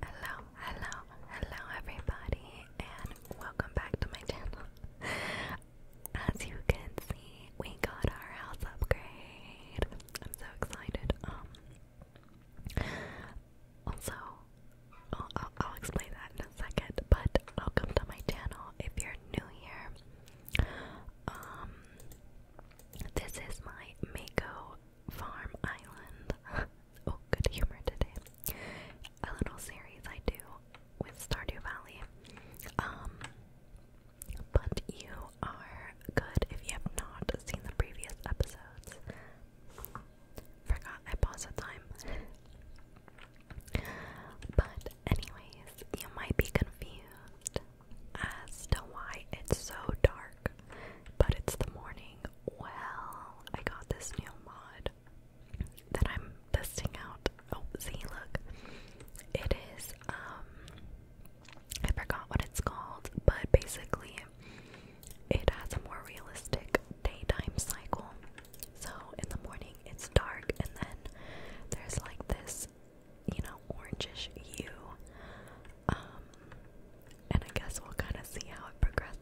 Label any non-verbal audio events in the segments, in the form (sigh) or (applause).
Hello, hello, hello everybody and welcome back to my channel. As you can see, we got our house upgrade. I'm so excited. Um also I'll, explain that in a second, but welcome to my channel if you're new here. Um this is my Mako Farm Island. (laughs) oh, good humor today. A little series I do with Stardew Valley. Um, but you are good if you have not seen the previous episodes. Forgot I paused the time. But, anyways, you might be confused as to why it's so dark but it's the morning. Well, I got this new mod that I'm testing out. Oh, see, look. It is, um, I forgot what it's called, but basically, it has a more realistic daytime cycle. So, in the morning, it's dark, and then there's like this, you know, orangish hue um, and I guess we'll kind of see how it progresses.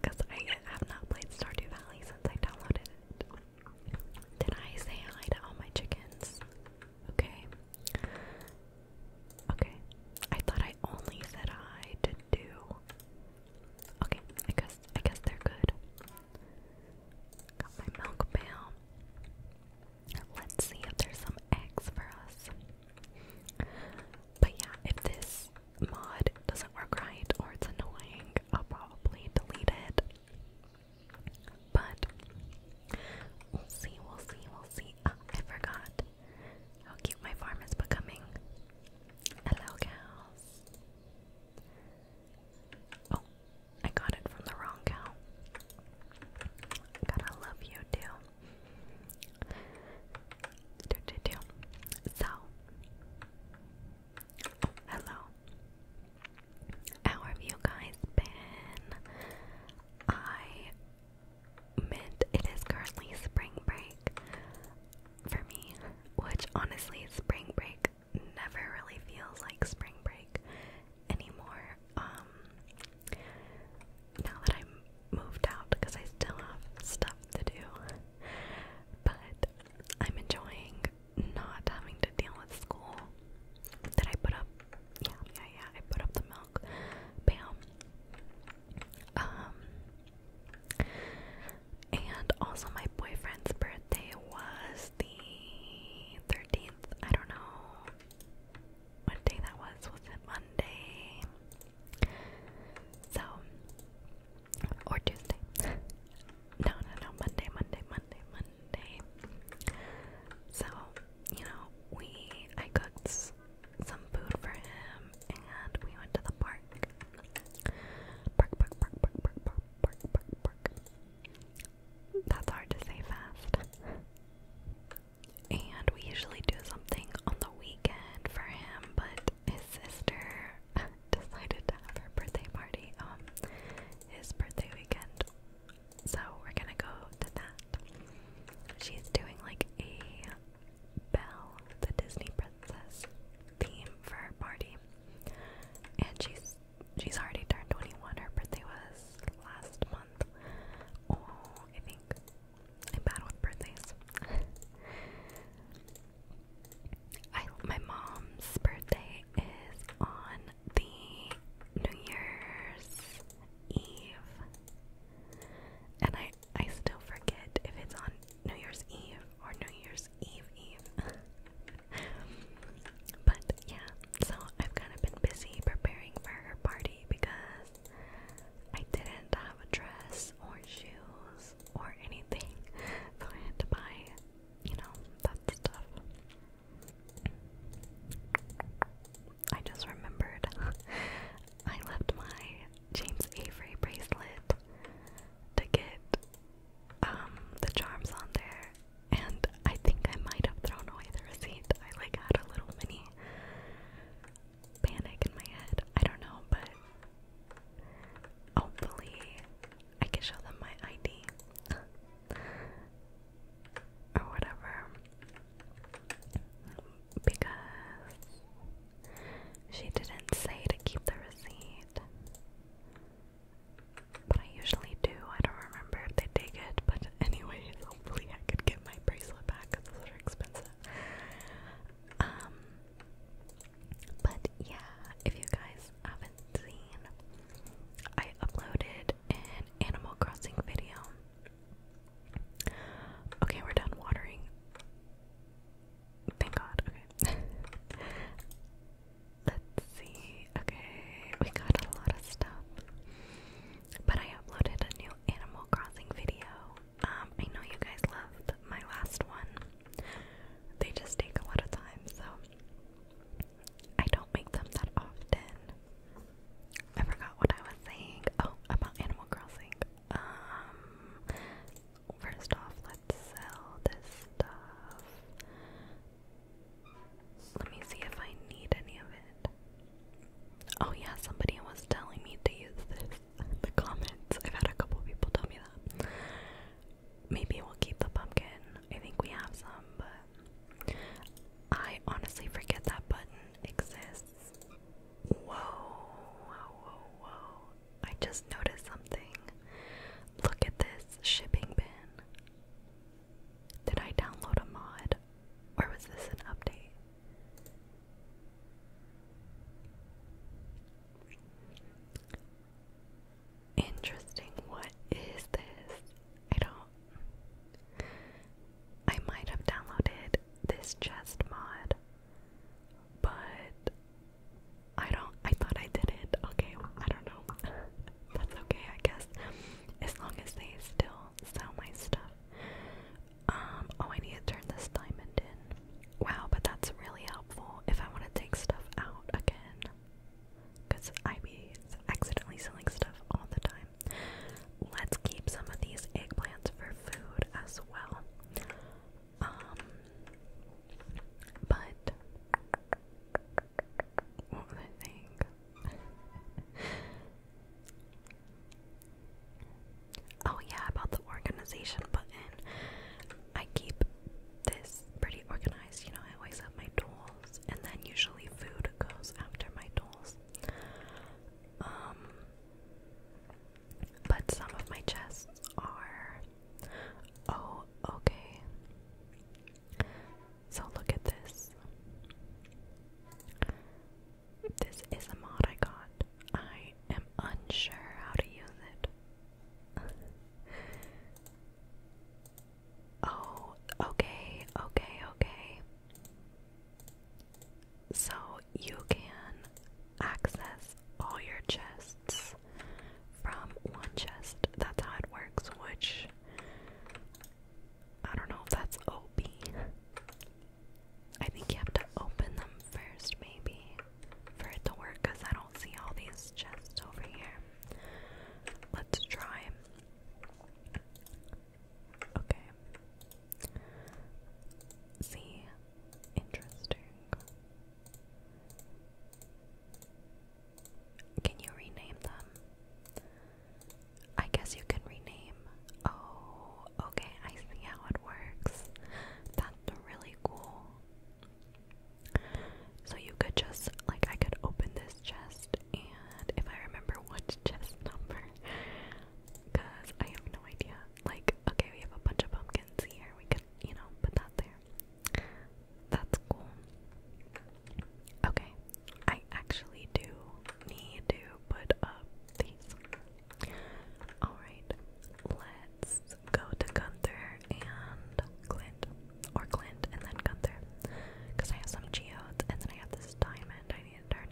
Because uh, I have not played Stardew Valley since I downloaded it. Did I say hi to all my chickens? Okay. Okay. I thought I only said hi to two. Okay, I guess I guess they're good. Got my milk pail. Let's see if there's some eggs for us. But yeah, if this mod doesn't work right or it's annoying, I'll probably delete it. But we'll see, we'll see, we'll see. Ah, I forgot how cute my farm is becoming. Hello, cows. Oh, I got it from the wrong cow. Gotta love you, too. Do, So, hello. How have you guys been? I meant it is currently spring break for me, which honestly, spring break never really feels like spring break anymore. Um, now that I'm moved out because I still have stuff to do. But I'm enjoying not having to deal with school. Did I put up? Yeah, yeah, yeah. I put up the milk. Bam. Um. And also, my boyfriend's birthday was the 13th. I don't know what day that was. Was it Monday? So, or Tuesday. (laughs) no, no, no, Monday, Monday, Monday, Monday. So, you know, we, I cooked some food for him and we went to the park. Park, park, park, park, park, park, park, park, park. That's hard to say fast and we usually do something on the weekend for him, but his sister (laughs) decided to have her birthday party um his birthday weekend. So we're gonna go to that. She's doing like a Belle, the Disney princess theme for her party. And she's she's already turned 21. Her birthday was last month. Oh, I think I'm bad with birthdays. (laughs) I my mom's birthday is on the New Year's Eve. And I I still forget if it's on New Year's Eve or New Year's Eve Eve. (laughs) but yeah, so I've kind of been busy preparing for her party because I didn't have a dress or shoes or anything, so I had to buy, you know, that stuff. I just remembered (laughs) I left my James Avery bracelet to get um, the charms on there and I think I might have thrown away the receipt. I like had a little mini panic in my head. I don't know, but hopefully I can show them my ID (laughs) or whatever. Because she didn't say to keep the receipt. But I usually do. I don't remember if they take it. But, (laughs) anyway, hopefully I could get my bracelet back those are expensive. Um, but yeah, if you guys haven't seen, I uploaded an Animal Crossing video. Okay, we're done watering. Thank God. Okay. (laughs) Let's see. Okay, we got a lot of stuff. But I uploaded a new Animal Crossing video um, I know you guys loved my last one. They just take a lot of time, so I don't make them that often. I forgot what I was saying. Oh, about Animal Crossing. Um, first off, let's sell this stuff. Let me see if I need any of it. Oh yeah, somebody was telling me to use this the comments. I've had a couple people tell me that. Maybe we'll keep the pumpkin. I think we have some, but I honestly forget that button exists. Whoa, whoa, whoa, whoa. I just noticed something. Look at this shipping bin. Did I download a mod? Or was this an update? Interesting. What is this? I don't. I might have downloaded this chest mod, but I don't. I thought I did it. Okay, I don't know. (laughs) That's okay, I guess. As long as they still sell my stuff. Um, oh, I need to turn this diamond in. Wow, but that's really helpful if I want to take stuff out again. Because I be accidentally selling stuff all the time. Let's keep some of these eggplants for food as well. Um, but what was I think? (laughs) Oh, yeah, about the organization button. I keep this pretty organized. You know, I always have my tools, and then usually food goes after my tools. Um, but some of my chests are. Oh, okay. So look at this. This is a mod I got. I am unsure how to use it. (laughs) oh, okay, okay, okay. So you can access all your chests from one chest. That's how it works, which I don't know if that's OP. I think you have to open them first, maybe, for it to work, because I don't see all these chests over here. Let's try. Okay. See? Interesting. Can you rename them? I guess you can rename. Oh, okay, I see how it works. That really cool. So you could just, like, I could open this chest, and if I remember what (laughs) chest number, because I have no idea. Like, okay, we have a bunch of pumpkins here, we could, you know, put that there. That's cool. Okay, I actually do need to put up these. Alright, let's go to Gunther and Clint. Or Clint and then Gunther. Because I have some geodes and then I have this diamond I need to turn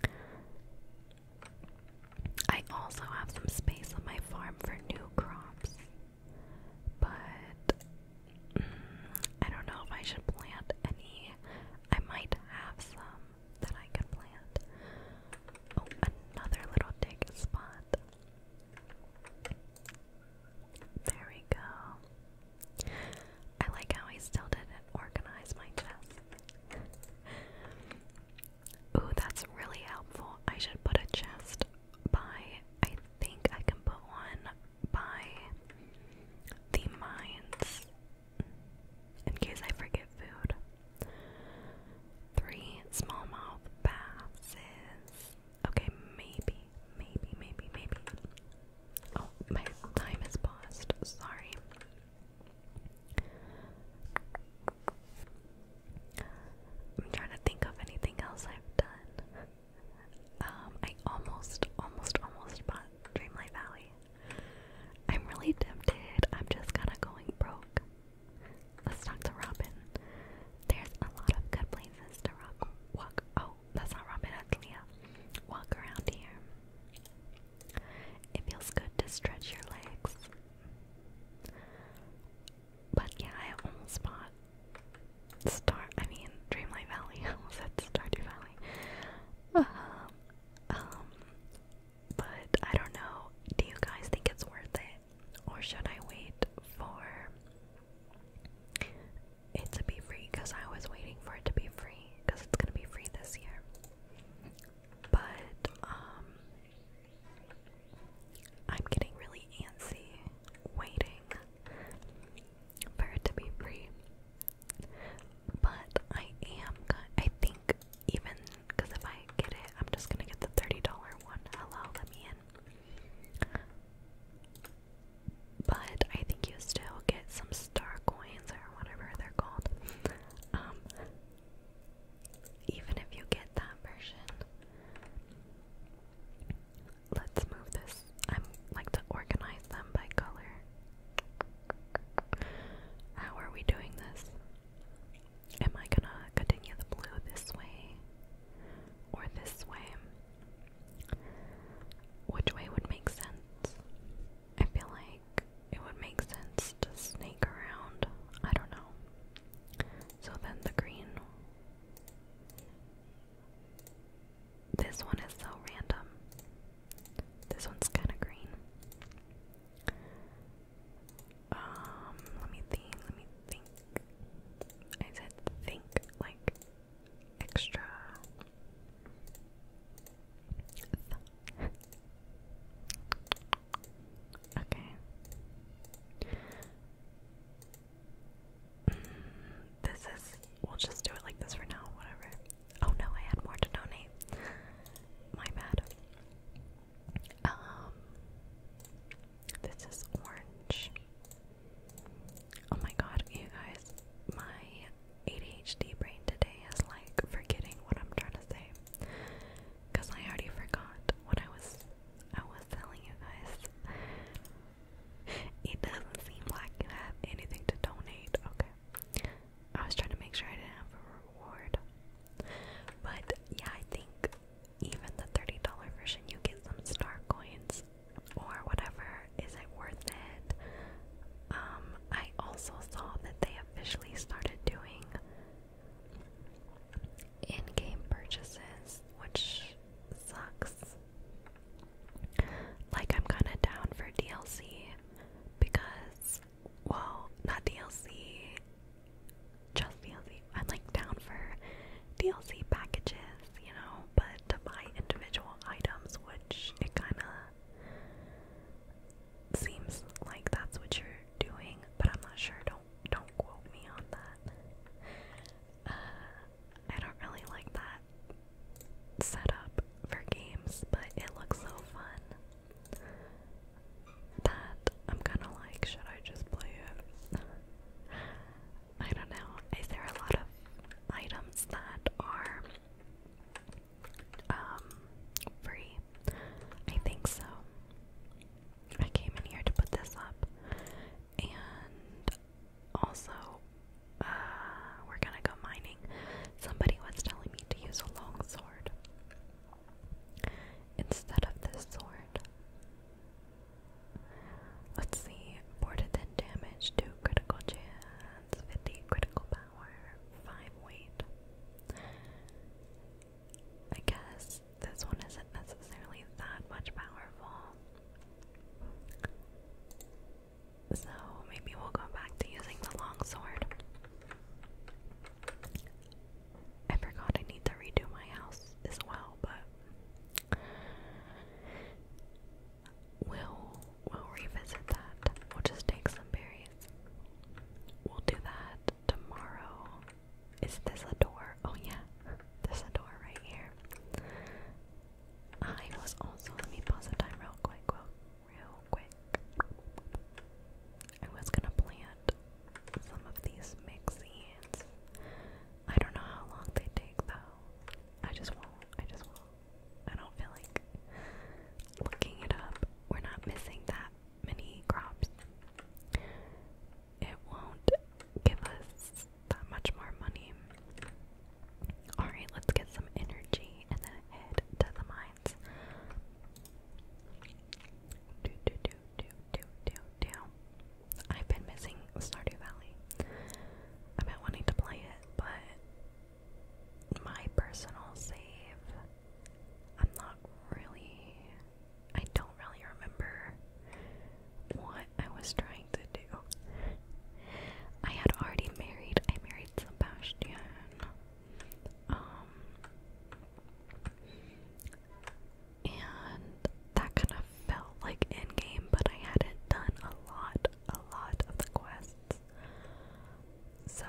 in. I also have some space on my farm for new crops. But mm, I don't know if I should plant any. I might have some that I can plant. Oh, another little dig spot. There we go. I like how I still didn't organize my chest. Ooh, that's really helpful. I should put a chest by, I think I can put one by the mines in case I forget food. Three smallmouth baths okay, maybe, maybe, maybe, maybe. Oh, my time is paused. Sorry. I'm trying to think of anything else I've done. Um, I almost, almost, almost bought Dreamlight Valley. I'm really tempted. I'm just kind of going broke. Let's talk to Robin. There's a lot of good places to walk. Oh, that's not Robin, that's Leah. Walk around here. It feels good to stretch your legs. But yeah, I almost bought Star. I mean, Dreamlight Valley. (laughs) I almost said to start uh, Um, um, but I don't know. Do you guys think it's worth it? Or should I wait for it to be free? Because I was waiting for it to be free. Because it's going to be free this year. But, um, I'm getting really antsy waiting for it to be free. But I am I think even because if I get it, I'm just gonna get the $30 one. Hello, let me in. But I think you still get some star coins or whatever they're called. Um, even if you get that version. Let's move this. I'm like to organize them by color. How are we doing this? Am I gonna continue the blue this way or this way? Which way would make sense? I feel like it would make sense to snake around. I don't know. So then the green. This one is so random. This one's kind of green. Um, let me think, let me think. I said think like extra. okay. Mm, this is, we'll just do it like this for now, whatever. Oh no, I had more to donate. My bad. Um, this is orange. Oh my god, you guys, my ADHD brain today is like forgetting what I'm trying to say. Cause I already forgot what I was I was telling you guys. It doesn't seem like you have anything to donate. Okay. I was trying to make sure I didn't have a reward. But yeah, I think even the $30 version, you get some star coins or whatever. Is it worth it? Um, I also saw that they officially started doing in game purchases, which sucks. Like, I'm kind of down for DLC because well, not DLC, just DLC. I'm like down for DLC packages, you know, but to buy individual items, which it kind of seems like that's what you're doing, but I'm not sure. Don't don't quote me on that. Uh, I don't really like that setup for games, but it looks so fun that I'm kinda like, should I just play it? I don't know. Is there a lot of items that are um free? I think so. I came in here to put this up. And also, uh, we're gonna go mining. Somebody was telling me to use a long sword instead of this sword. Let's see. 4 to damage, 2 critical chance, 50 critical power, 5 weight. I guess this one isn't necessarily that much powerful. So maybe we'll go back to using the long I forgot I need to redo my house as well, but we'll we'll revisit that. We'll just take some berries. We'll do that tomorrow. Is this a door? Oh yeah. There's a door right here. I was also let me pause the time real quick, real, real quick. I was gonna plant some of these mixed seeds. I don't know how long they take though. I just won't. I just won't. I don't feel like looking it up. We're not missing that many crops. It won't give us that much more money. Alright, let's get some energy and then head to the mine. Do, do, do, do, do, do, do. I've been missing Stardew Valley. I've been wanting to play it, but my personal save, I'm not really. I don't really remember what I was trying to do. I had already married. I married Sebastian. Um, and that kind of felt like in but I hadn't done a lot, a lot of the quests. So,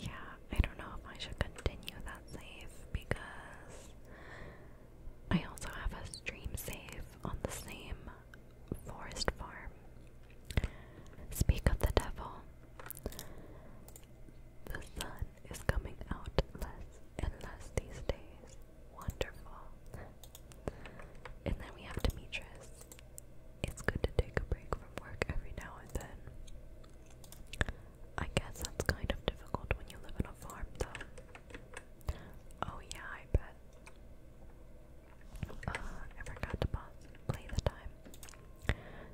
yeah, I don't know if I should continue that save because I also have a stream save on the same forest farm. Speak of the devil. The sun is coming out less and less these days. Wonderful. And then we have Demetrius. It's good to take a break from work every now and then. I guess that's kind of difficult when you live on a farm, though. Oh, yeah, I bet. Uh, I forgot to pause. Play the time.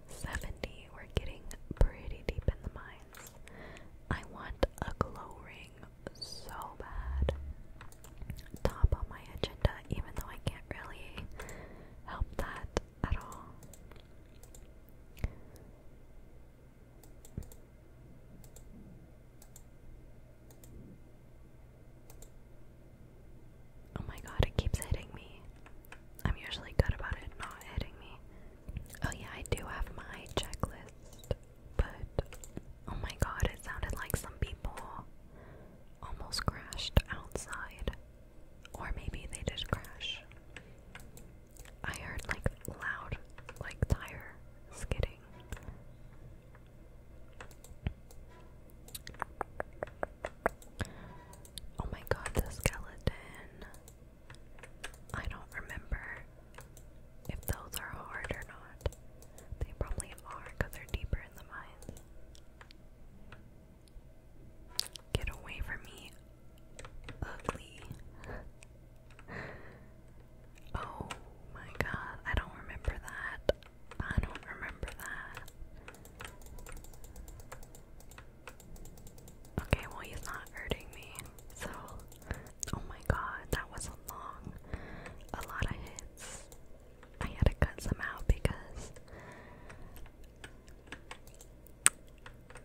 70. We're getting pretty deep in the mines. I want a glow ring so bad. Top on my agenda, even though I can't really help that at all. Oh my god, it keeps hitting me. I'm usually good about it not hitting me. Oh, yeah, I do have my checklist, but oh my god, it sounded like some people almost crashed outside. Or maybe they did crash. I heard like loud, like tire skidding. Oh my god, the skeleton. I don't remember if those are hard or not. They probably are because they're deeper in the mines. Get away from me, ugly. (laughs) oh my god, I don't remember that. I don't remember that. Okay, well, he's not hurting me. So, oh my god, that was a long, a lot of hits. I had to cut some out because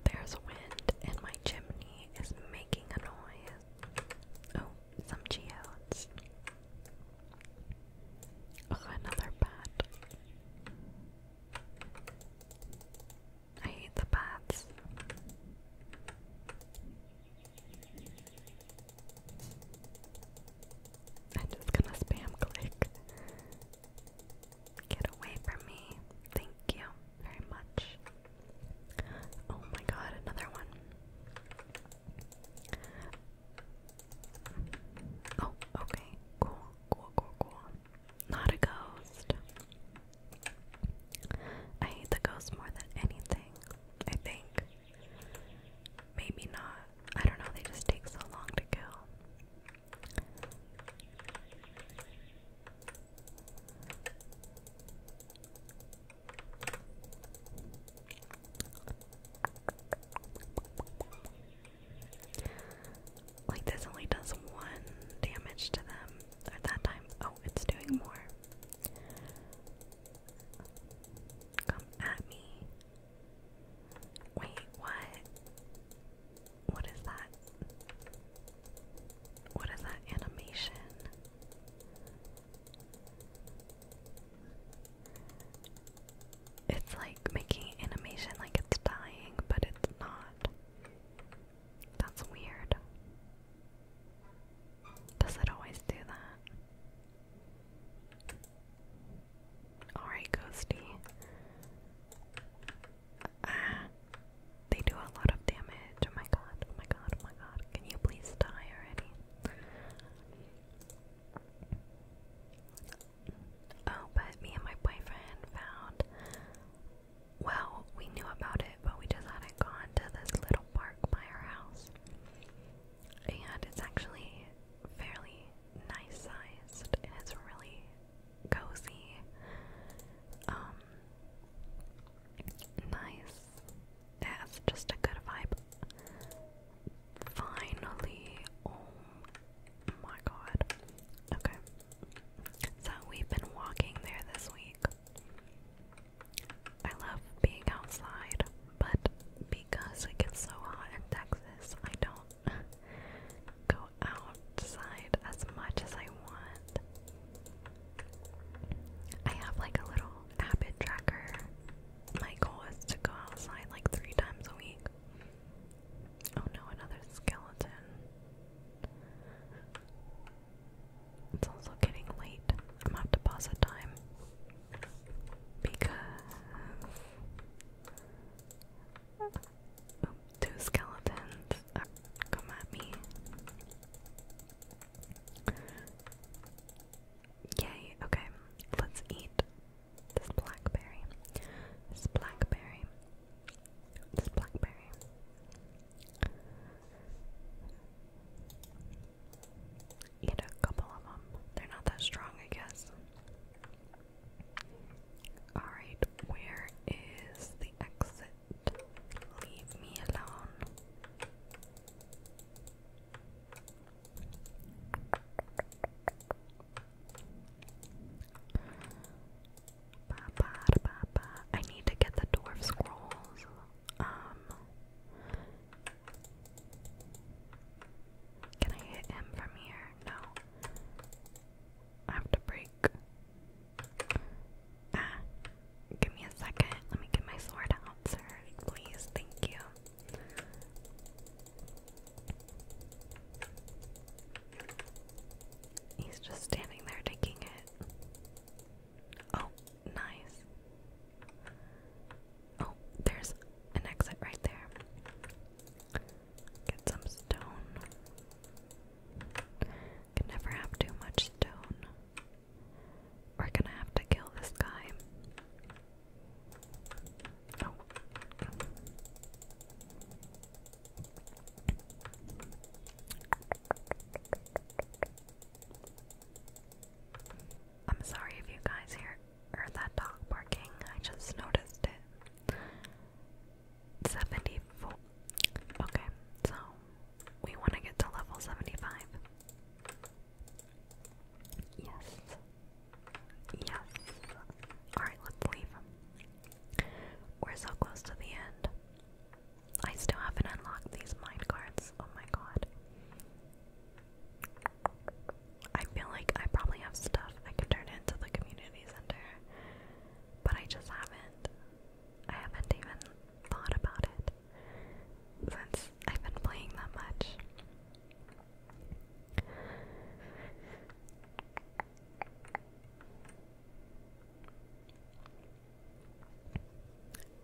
there's wind and my chimney is making a noise. Oh, some geodes. another bat. I hate the bats. I'm just gonna spam click. Get away from me. Thank you very much. Oh my god, another one. Oh, okay. Cool, cool, cool, cool. Not a ghost. I hate the ghosts more than anything, I think. Maybe not. I don't know, they just take so long to kill. Like this only does one damage to them at that time. Oh, it's doing more. Come at me. Wait, what? What is that? What is that animation? It's like making animation like it's dying, but it's not. That's weird. Does it always do that? Alright, Ghosty. Ah, they do a lot of damage. Oh my god, oh my god, oh my god. Can you please die already? Oh, but me and my boyfriend found. Well, we knew about it, but we just hadn't gone to this little park by our house. And it's actually fairly nice sized, and it's really cozy, um, nice. It has just a good vibe. Finally, oh my god. Okay. So we've been walking there this week. I love being outside, but because it gets so hot in Texas, I don't go outside as much as I want. I have like a little habit tracker. My goal is to go outside like three times a week. Oh no, another skeleton. It's also getting late. I'm have to pause the time because two skeletons come at me. Yay, okay. Let's eat this blackberry. This blackberry. This blackberry. Eat a couple of them. They're not that strong, I guess. Alright, where is the exit? Leave me alone. I need to get the dwarf scrolls. Um, can I hit him from here? No. I have to break. Ah, give me a second. Let me get my sword out, sir. Please, thank you. He's just standing there taking it. Oh, nice. Oh, there's an exit right there. Get some stone. Can never have too much stone. We're gonna have to kill this guy. Oh. I'm sorry if you guys hear that dog barking. I just noticed it. 74. Okay, so we want to get to level 75. Yes. Yes. Alright, let's leave. We're so close to the end. I still haven't unlocked these mind cards. Oh my god. I feel like I probably have stuff I can turn into the community center, but I just haven't. I haven't even thought about it since I've been playing that much.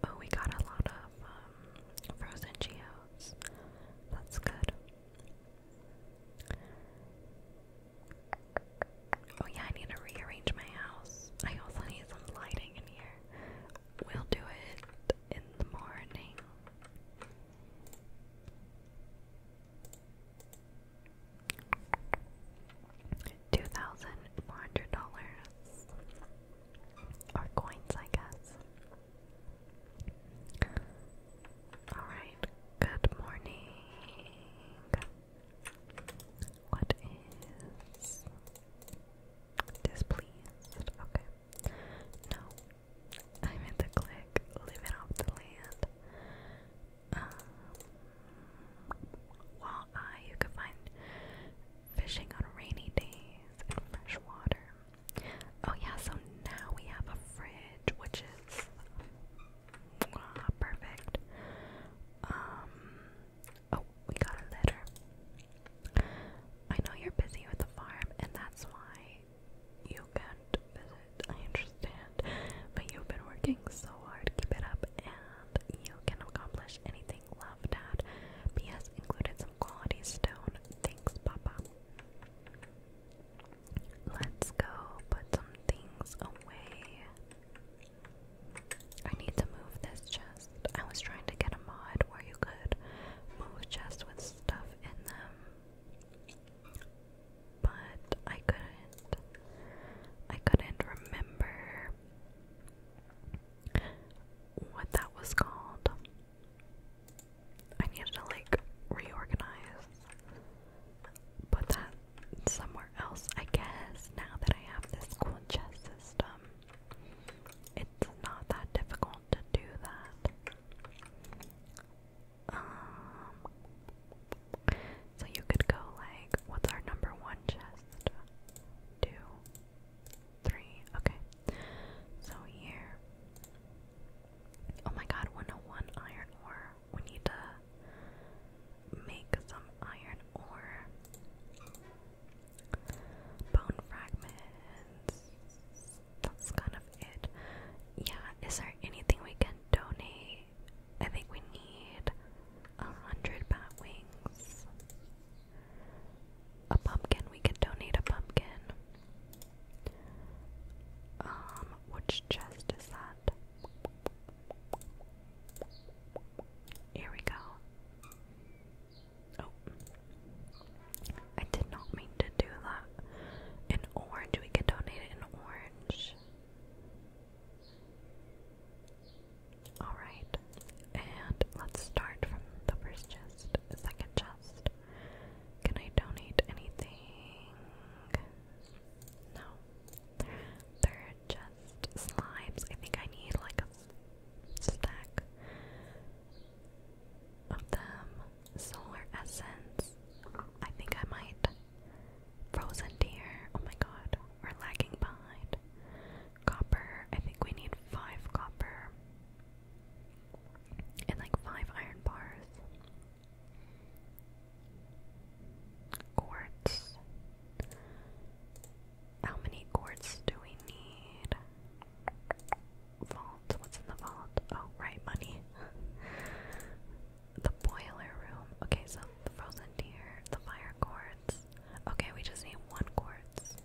Oh, we got a lot of um, frozen geos. That's good. Oh yeah, I need to rearrange my house. I also need some lighting in here. We'll do it in the morning. Two thousand four hundred dollars, or coins, I guess. All right. Good morning. What is displeased? Okay. No, I meant to click. Living off the land. Um, walleye you can find fishing on rainy days and fresh water. Oh yeah, so now we have a fridge, which is ah, perfect. Um, oh, we got a litter. I know you're busy with the farm, and that's why you can't visit I understand. But you've been working so hard. Keep it up and you can accomplish anything. Love, Dad. P.S. included some quality stone. Thanks, Papa. Let's go put some things away. I need to move this chest. I was trying to get a mod where you could move chests with stuff in them but I couldn't I couldn't remember what that was called. I needed to like reorganize. Put that somewhere else, I guess. Now that I have this cool chess system, it's not that difficult to do that. Um, so you could go like, what's our number one chest? Two, three. Okay. So here. Oh my God, 101 iron ore. We need to make some iron ore. Bone fragments. That's kind of it. Yeah, is there anything we can donate? I think we need a hundred bat wings. A pumpkin, we can donate a pumpkin. Um, which chest is that? Here we go. Oh. I did not mean to do that. An orange, we can donate an orange. Alright, and let's start from the first chest, second chest. Can I donate anything? No. Third chest, slimes. I think I need like a stack of them. Solar essence. I think I might Frozen deer, oh my god, we're lagging behind. Copper, I think we need five copper and like five iron bars. Quartz. How many quartz do we need? Vault. What's in the vault? Oh, right, money. (laughs) The boiler room. Okay, so the frozen deer, the fire quartz. Okay, we just need one quartz.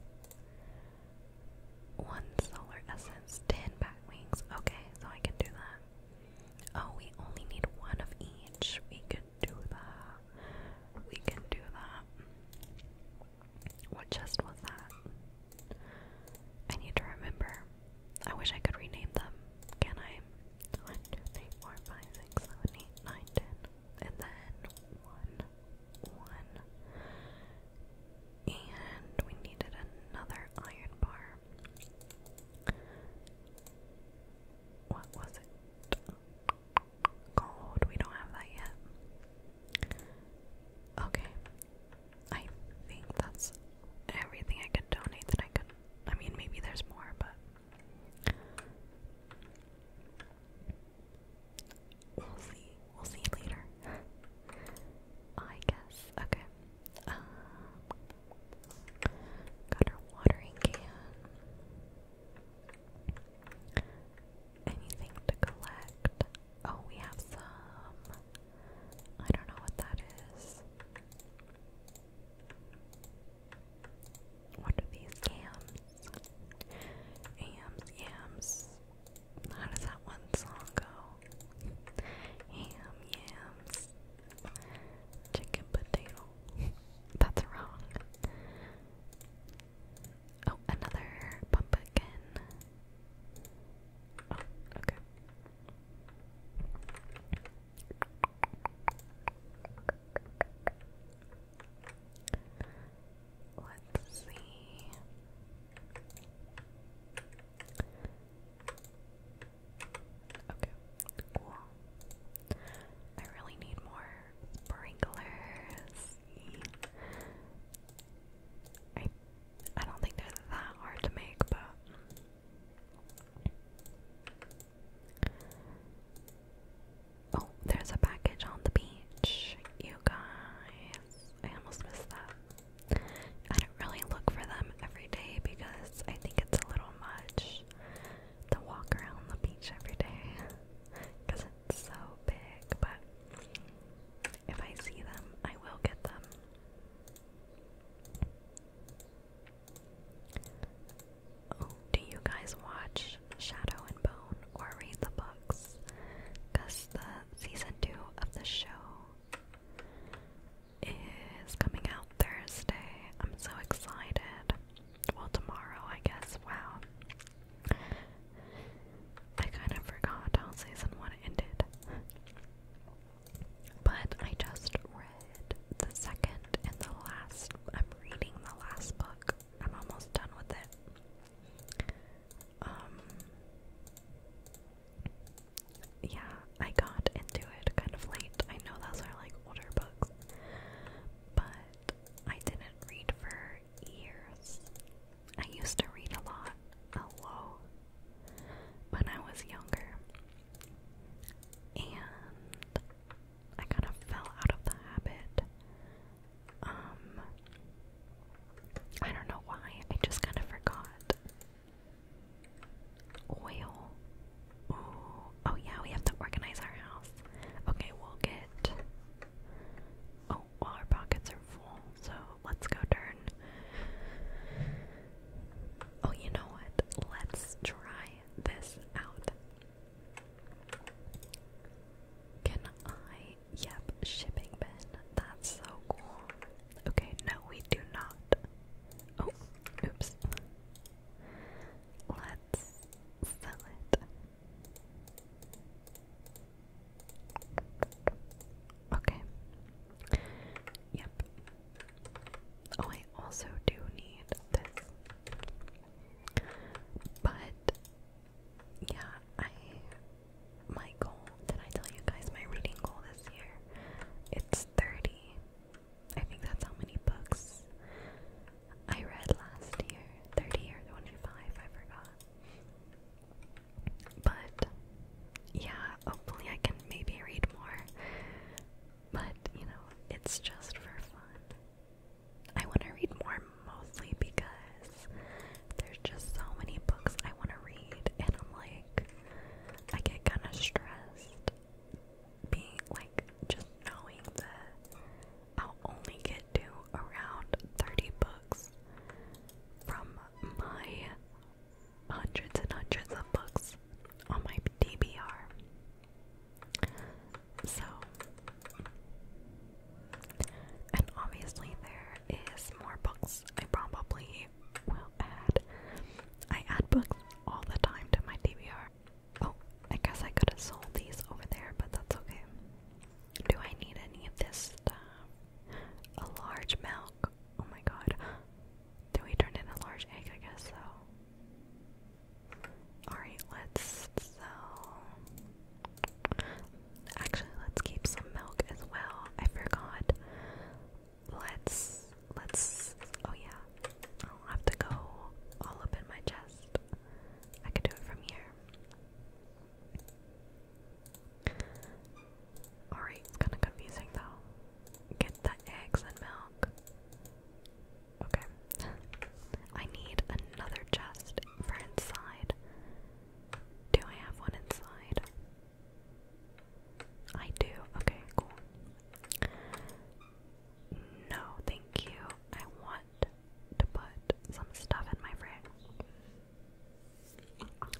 One solar essence, ten bat wings. Okay, so I can do that. Oh, we only need one of each. We can do that. We can do that. What chest was that? I need to remember. I wish I could rename them. Can I? 1, and then 1, 1. And we needed another iron bar. What was it? Gold. We don't have that yet. Okay. I think that's everything I could donate that I could. I mean, maybe there's more, but We'll see. We'll see later. I guess. Okay. Um, got our watering can. Anything to collect? Oh, we have some. I don't know what that is. What are these yams? Yams, yams. How does that one song go? Yam, yams. Chicken potato. (laughs) That's wrong. Oh, another pumpkin. Oh, okay. Let's see. Okay, cool. I really need more sprinklers. I I don't think they're that hard to make, but Oh, there's a package on the beach. You guys, I almost missed that. I don't really look for them every day because I think it's a little much to walk around the beach every day because (laughs) it's so big. But if I see them, I will get them. Oh, do you guys watch Shadow and Bone or read the books? Because the season two of the show is coming out Thursday. I'm so excited. Well, tomorrow, I guess. Wow. I kind of forgot season one ended. But I just the second and the last. I'm reading the last book. I'm almost done with it. Um, yeah, I got into it kind of late. I know those are like older books, but I didn't read for years. I used to read a lot, a when I was younger, and I kind of fell out of the habit. Um, I don't know why, I just kind of forgot. Oil. Oh, yeah, we have to organize our house. Okay, we'll get. Oh, our pockets are full, so let's go turn. Oh, you know what? Let's try this out. Can I? Yep, shipping bin. That's so cool. Okay, no, we do not. Oh, oops. Let's sell it. Okay. Yep. Oh, I also do need this. But yeah, I my goal, did I tell you guys my reading goal this year? It's 30. I think that's how many books I read last year. 30 or 25, I forgot. But yeah, hopefully I can maybe read more. But, you know, it's just for fun. I want to read more mostly because there's just so many books I want to read, and I'm like, I get kind of stressed being like just knowing that I'll only get to around 30 books from my hundreds and hundreds of books on my DBR. So, and obviously, there is more books. I probably will add. I add books all the time to my DVR. Oh, I guess I could have sold these over there, but that's okay. Do I need any of this stuff? A large milk. Oh my god. Do we turn in a large egg? I guess so. Alright, let's so actually let's keep some milk as well. I forgot. Let's let's oh yeah. I'll have to go all up in my chest. I could do it from here. Alright, it's kinda confusing though. Get the eggs and milk. Okay. I need another chest for inside. Do I have one inside? I do. Okay, cool. No, thank you. I want to put some stuff in my fridge.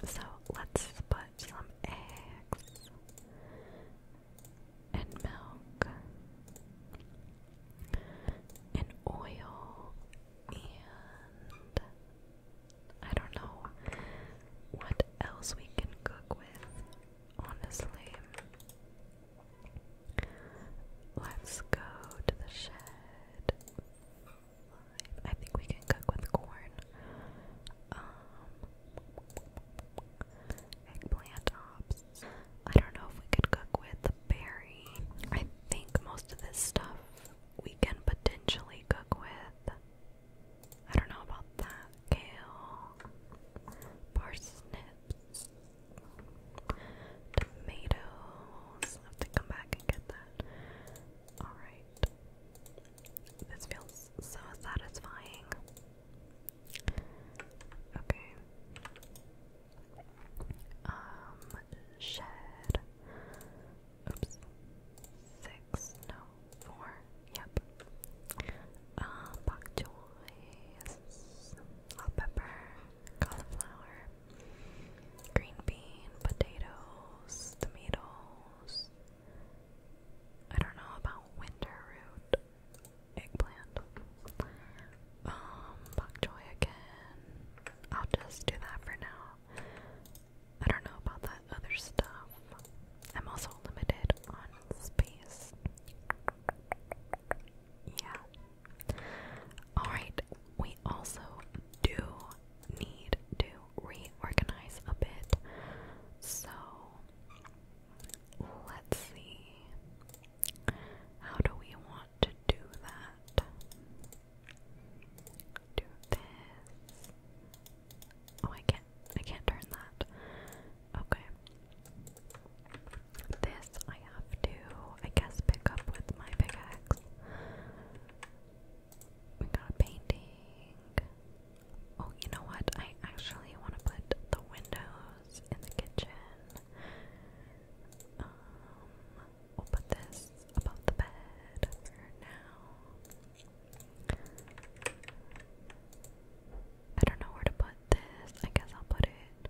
So let's put some eggs and milk and oil and I don't know what else we can cook with, honestly. Let's go to the shed. I think we can cook with corn. Um, eggplant tops. I don't know if we could cook with berry. I think most of this stuff we can potentially cook with. I don't know about that. Kale, parsnips, tomatoes. have to come back and get that. Alright. This feels so satisfying. Okay. Um, shed. Oops. Six, no, four. Yep. Um, bok choy, hot pepper, cauliflower, green bean, potatoes, tomatoes. I don't know about winter root eggplant. Um, bok choy again. I'll just do that for now. I don't know about that other stuff. I'm also limited on space. Yeah. Alright, we also do need to reorganize a bit. So Let's see. How do we want to do that? Do this. Oh, I can't. I can't turn that. Okay. This I have to, I guess, pick up with my pickaxe. We got a painting. Oh, you know what? I actually want to put the windows in the kitchen. Um, we'll put this above the bed now. I don't know where to put this. I guess I'll put it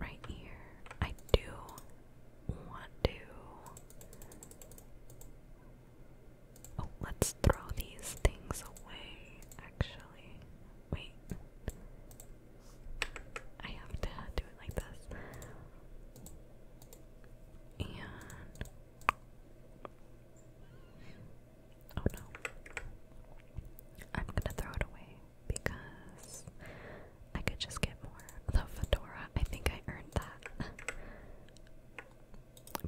right here. I do want to. Oh, let's throw these things away, actually. Wait. I have to do it like this. And oh no. I'm gonna throw it away because I could just get more. The fedora, I think I earned that.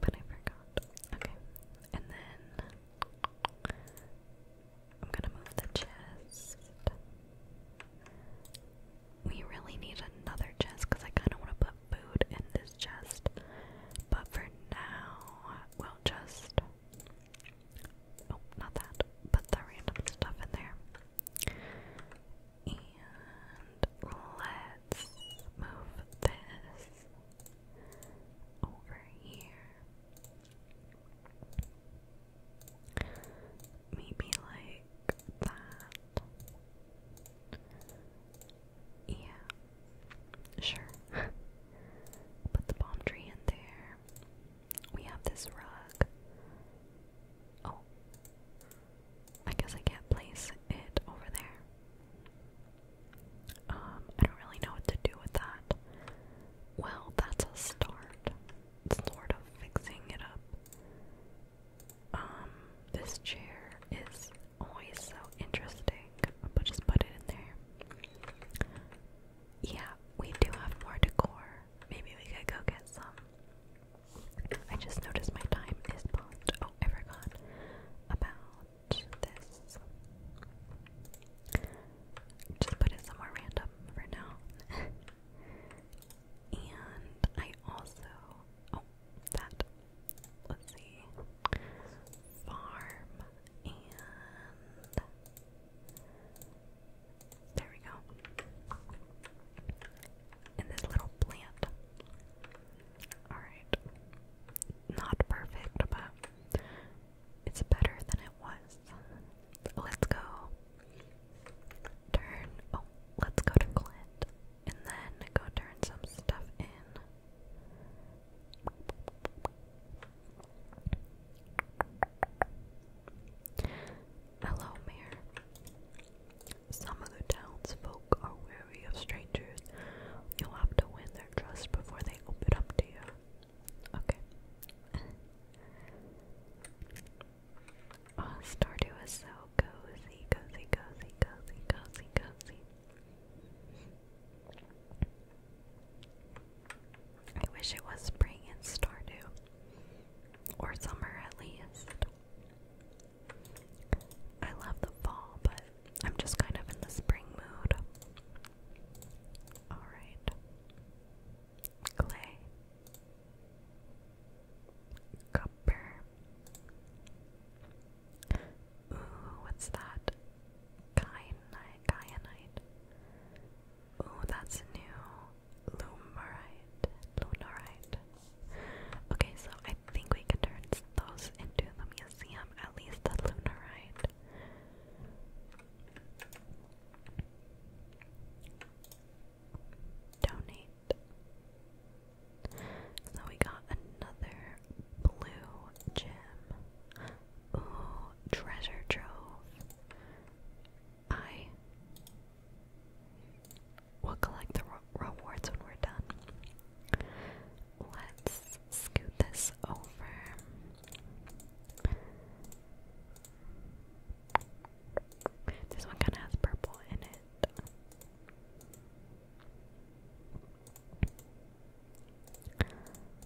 but I forgot. Okay. And then I'm gonna move the chest. We really need another chest because I kind of want to put food in this chest. But for now, we'll just. Oh, not that. Put the random stuff in there. And let's move this over here. Maybe like that. Yeah, sure. (laughs) Put the palm tree in there. We have this rug. Oh, I guess I can't place it over there. Um, I don't really know what to do with that. Well, that's a start. Sort of fixing it up. Um, this chair is always so interesting. But just put it in there. Yeah, we do have more decor. Maybe we could go get some. I just noticed my time is past. Oh, I forgot about this just put it somewhere random for now. (laughs) and I also oh that let's see farm and there we go. And this little plant. Alright. Not perfect, but it's better than it was. Let's go. Turn. Oh, let's go to Clint. And then go turn some stuff in. Hello, Mayor. Some of the townsfolk are wary of strangers. You'll have to win their trust before they open up to you. Okay. oh, Stardew is so cozy, cozy, cozy, cozy, cozy, cozy. I wish it was spring in Stardew. Or summer at least. I love the fall, but I'm just kind of in the spring mood. Alright clay, copper. Ooh, what's that? Kyanite, Ooh, that's new. Lumarite, lunarite. Okay, so I think we can turn those into the museum, at least the lunarite. Donate. So we got another blue gem. Ooh, treasure trove. I will collect the rewards when we're done. Let's scoot this over. This one kind of has purple in it.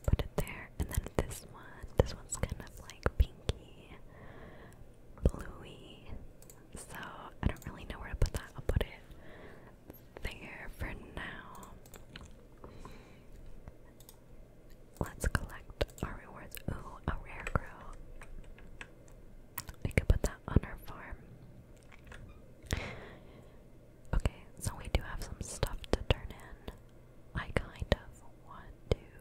Put it there, and then this one. This one's kind of like pinky, bluey. So I don't really know where to put that. I'll put it there for now. Let's collect our rewards. Ooh, a rare grow. We could put that on our farm. Okay, so we do have some stuff to turn in. I kind of want to.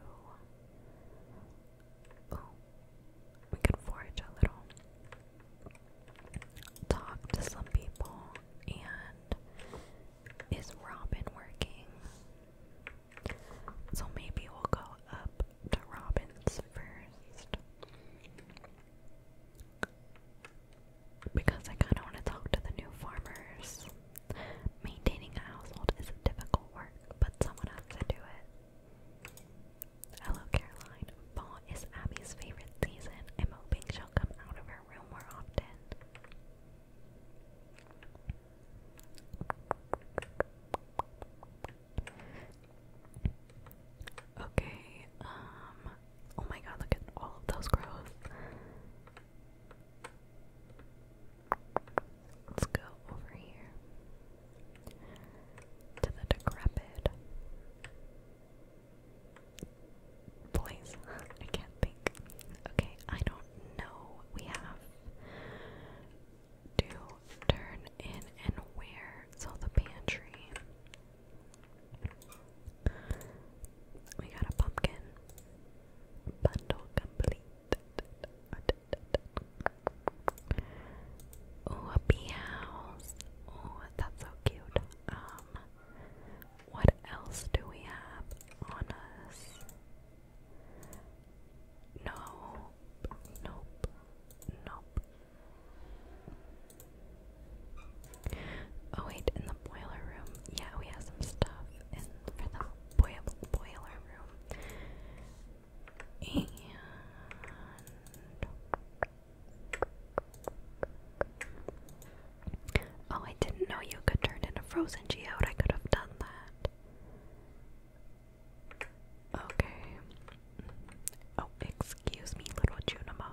we could forage a little. Talk to some people. And is Robin working? So maybe we'll go up to Robin's first. Because I kind of want to talk to the new farmers. Maintaining a household is difficult work, but someone has to do it. Hello, Caroline. Fall is Abby's favorite season. i hoping she'll come out of her room more often. Okay, um, oh my god, look at all of those growth. Let's go over here to the decrepit place. (laughs) I can't think. Okay, I don't know we have to turn in and where. So the pantry. We got a pumpkin. Bundle complete. Oh, a bee house. Oh, that's so cute. Um, what else do we have on us? No, nope, nope. Oh wait, in the boiler room. Yeah, we have some stuff in for the boil boiler room. And Oh, I didn't know you could turn into frozen geode. I could have done that. Okay. Oh, excuse me, little Junimo.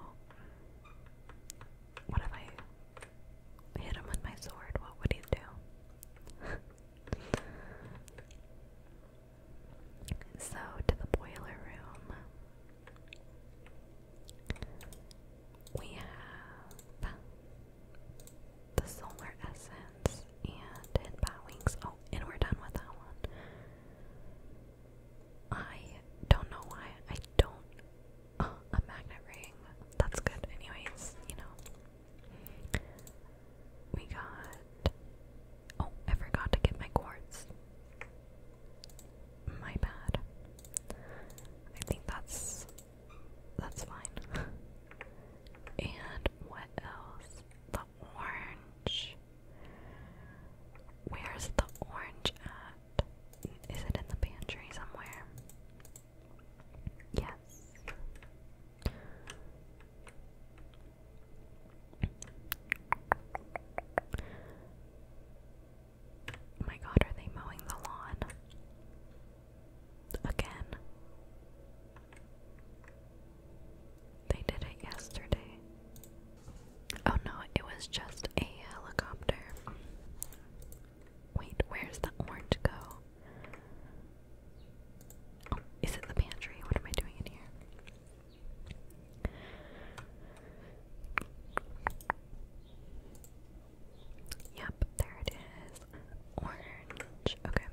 What if I hit him with my sword? What would he do? (laughs) so, to the boiler room. We have the solar essence, and hidden bat wings. Oh, and we're done with that one. I don't know why I don't. Uh, a magnet ring. That's good, anyways. You know. We got. Oh, I forgot to get my quartz. My bad. I think that's that's fine. and what else? The orange. Where's the orange at? Is it in the pantry somewhere? Yes. My god, are they mowing the lawn? Again. They did it yesterday. Oh no, it was just a helicopter. Wait, where's the orange go? Oh, is it the pantry? What am I doing in here? Yeah, there it is. Orange. Okay.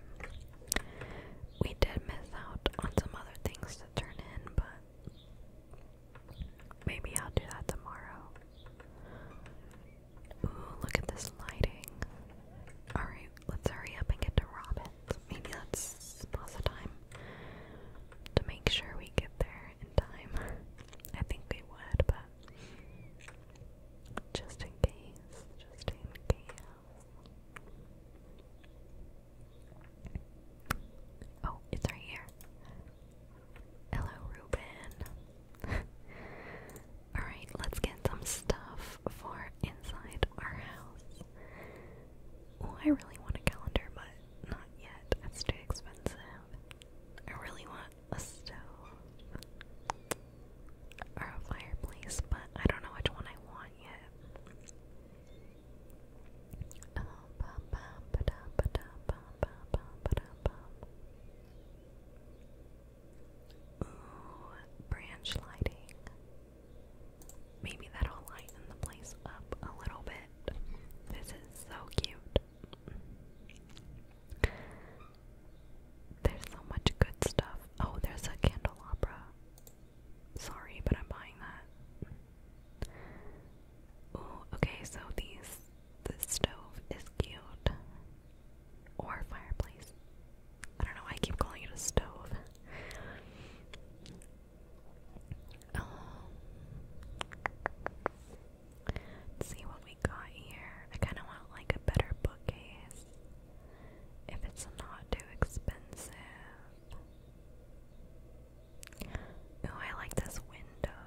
We did miss out on some other things to turn in, but maybe I'll do that tomorrow. Ooh, look at this lighting. Alright, let's hurry up and get to Robin's. Maybe let's the time to make sure we get there in time. (laughs) I think we would, but just in case, just in case. Oh, it's right here. Hello, Ruben. (laughs) Alright, let's get some stuff for inside our house. I really want a calendar, but not yet. That's too expensive. I really want a stove or a fireplace, but I don't know which one I want yet. Ooh, branch lighting. Maybe that'll lighten the place up a little bit. This is so cute. There's so much good stuff. Oh, there's a candelabra. Sorry, but I'm buying that. Oh, okay, so these the stove is cute. Or fireplace. I don't know why I keep calling it a stove. Um, see what we got here. I kind of want like a better bookcase if it's not too expensive. Ooh, I like this window.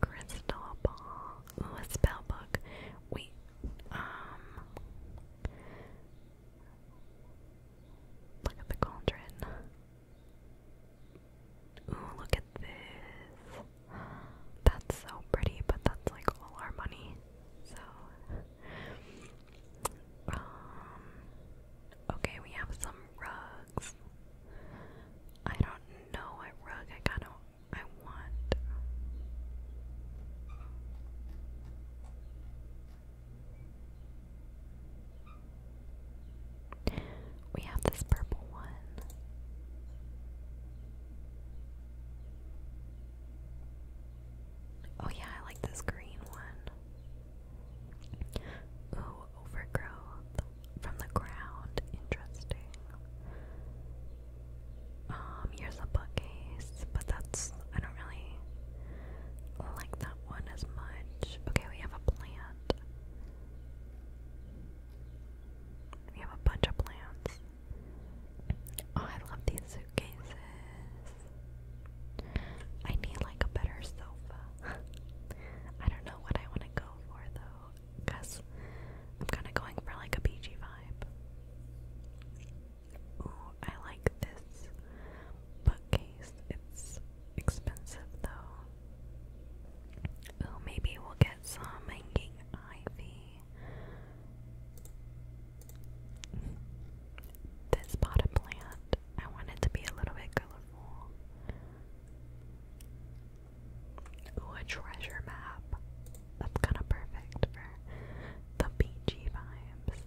Crystal ball. Ooh, spell book. Wait, um Look at the cauldron. Ooh, look at this. That's so pretty, but that's like all our money. So, um, okay, we have some rugs. I don't know what rug I kind of I want. We have this purple one. Oh yeah, I like this green one. Ooh, overgrowth from the ground. Interesting. Um, here's a bookcase, but that's I don't really like that one as much. Okay, we have a plant. We have a bunch of plants. Oh, I love these suitcases. I need like a better sofa. (laughs) I don't know what I want to go for though, because I'm kind of going for like a beachy vibe. Ooh, I like this bookcase. It's expensive though. Ooh, maybe we'll get some hanging ivy. This pot of plant, I want it to be a little bit colorful. a treasure map. That's kind of perfect for the beachy vibes.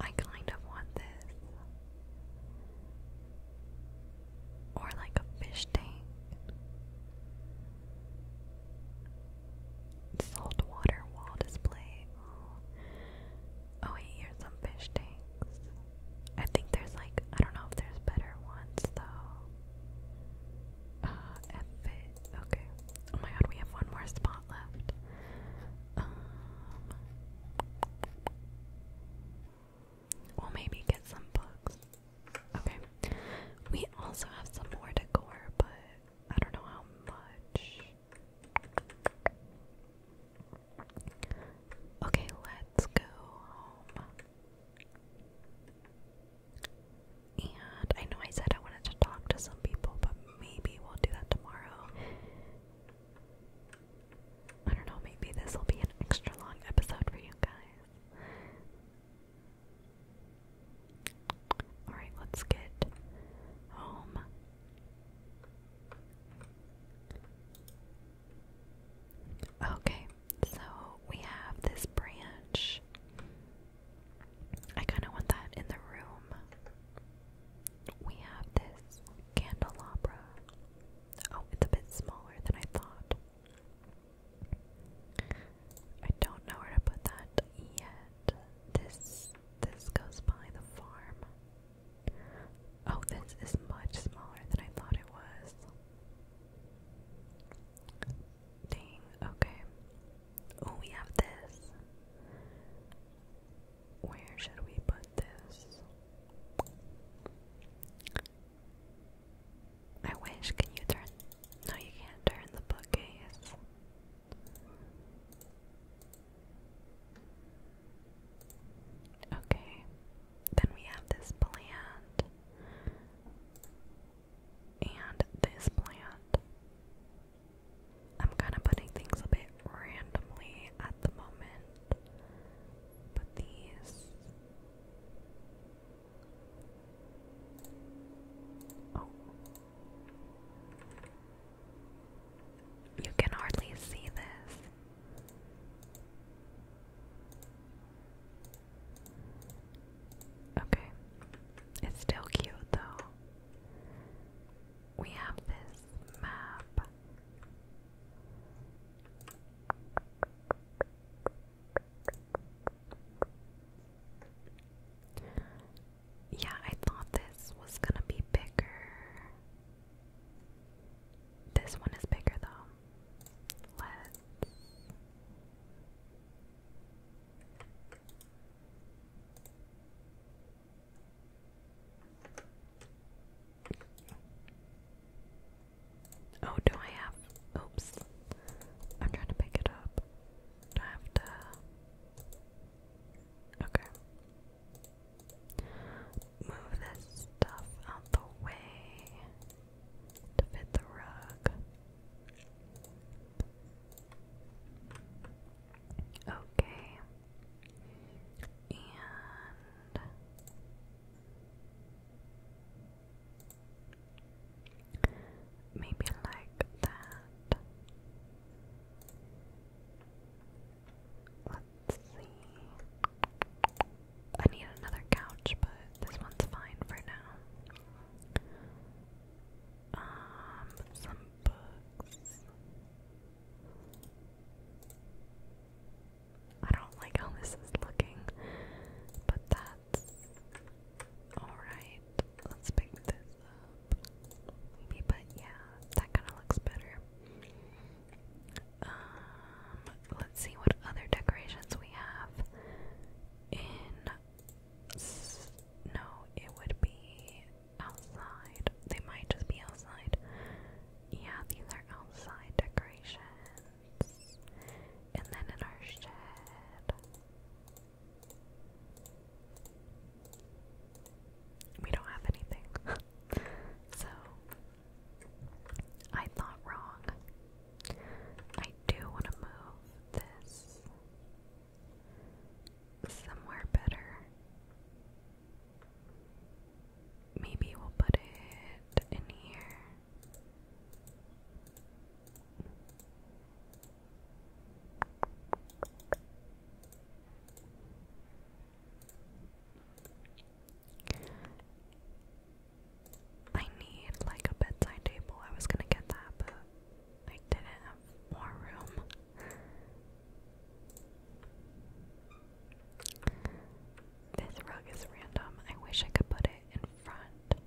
I kind of want this or like a fish tank. Saltwater wall display. Oh, wait, here's some fish tanks. I think there's like, I don't know if there's better ones though. Uh, okay. Oh my god, we have one more spot left. Um, We'll maybe get some books. Okay. We also have some more decor, but I don't know how much. Okay, let's go home. And I know I said I wanted to talk to some people, but maybe we'll do that tomorrow. I don't know, maybe this will be an extra long episode for you guys. Alright, let's get home. Okay, so we have this branch. I kind of want that in the room. We have this candelabra. Oh, it's a bit smaller than I thought. I don't know where to put that yet. This this goes by the farm. Oh, this is much smaller than I thought it was. Dang, okay. Oh, we have this. Where should we put this? I wish. Can you turn? No, you can't turn the bookcase. Okay. Then we have this plant. And this plant. I'm kind of putting things a bit randomly at the moment. But these. Oh. You can hardly see this. Okay. It's still cute though. We have this map. Yeah, I thought this was gonna be bigger. This one is bigger though. Let's. Oh, do I have? Oops. I'm trying to pick it up. I have to? Okay. Move this stuff out the way to fit the rug. Okay. And Maybe like that. Let's see. I need another couch, but this one's fine for now. Um, some books. I don't like how this is looking, but that Alright, let's pick this up. Maybe, but yeah, that kind of looks better. Um, let's see what other decorations we have. In no, it would be outside. They might just be outside. Yeah, these are outside decorations and then in our shed. We don't have anything. (laughs) so, I thought wrong. I do want to move this somewhere better. Maybe we'll put it in here. I need like a bedside table. I was gonna get that, but I didn't have more room. This rug is random. I wish I could put it in front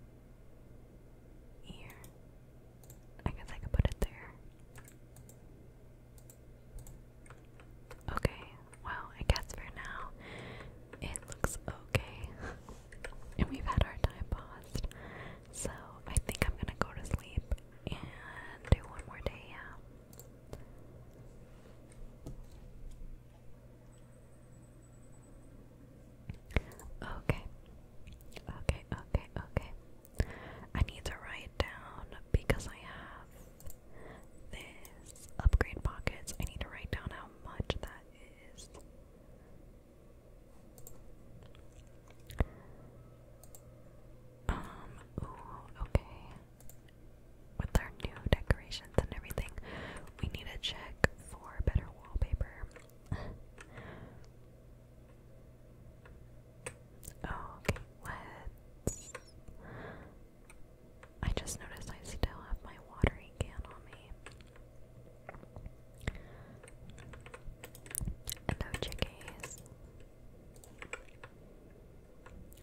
ear. I guess I could put it there. Okay, well, I guess for now it looks okay. (laughs) and we've had our time paused. So I think I'm gonna go to sleep and do one more day, Okay. Okay, okay, okay. I need to write down because I have this upgrade pockets. I need to write down how much that is. Um, okay. With our new decorations and everything, we need to check for better wallpaper. Oh, okay, let's. I just noticed I still have my watering can on me. no chickies.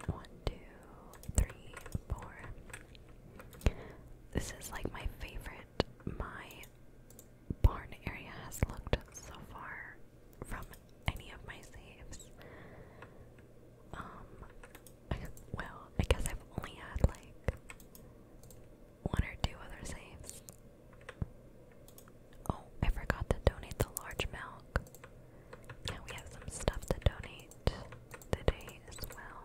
One, two, three, four. This is like my favorite my barn area has looked so far from any of my saves. Um, (laughs) well, I guess I've only had like one or two other saves. Oh, I forgot to donate the large milk. we have some stuff to donate today as well.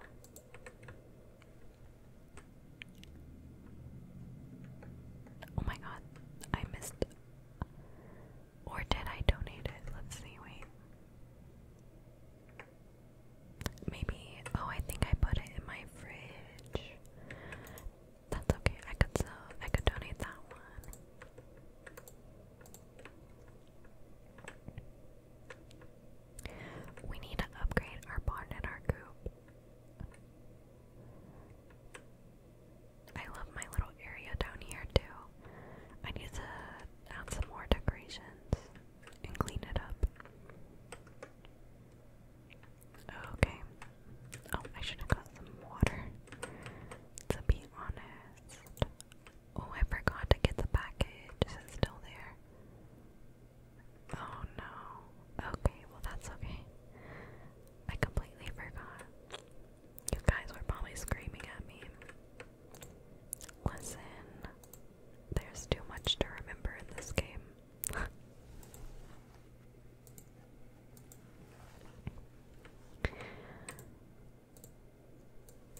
Oh my god, I missed. Or did I donate it? Let's see, wait. Maybe. Oh, I think I put it in my fridge. That's okay. I could sell. I could donate that one. We need to upgrade our barn and our coop. I love my little area down here too. I need to add some more decorations and clean it up. Okay. Oh, I should have got some water. To be honest. Oh, I forgot to get the package. Is it still there? Oh no. Okay, well that's okay. I completely forgot. You guys were probably screaming at me. Listen, there's too much to remember in this game. (laughs)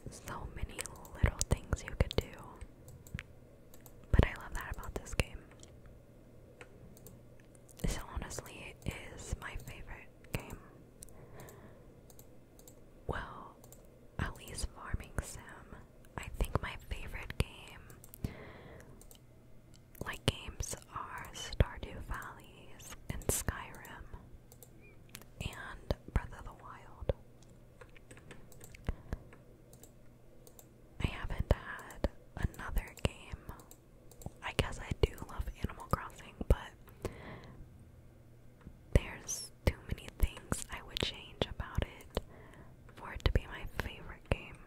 so many little things you could do. But I love that about this game. This honestly is my favorite game. Well, at least Farming Sim. I think my favorite game, like games, are Stardew Valley and Skyrim and Breath of the Wild. I haven't had another game. I guess I do love Animal Crossing, but there's too many things I would change about it for it to be my favorite game.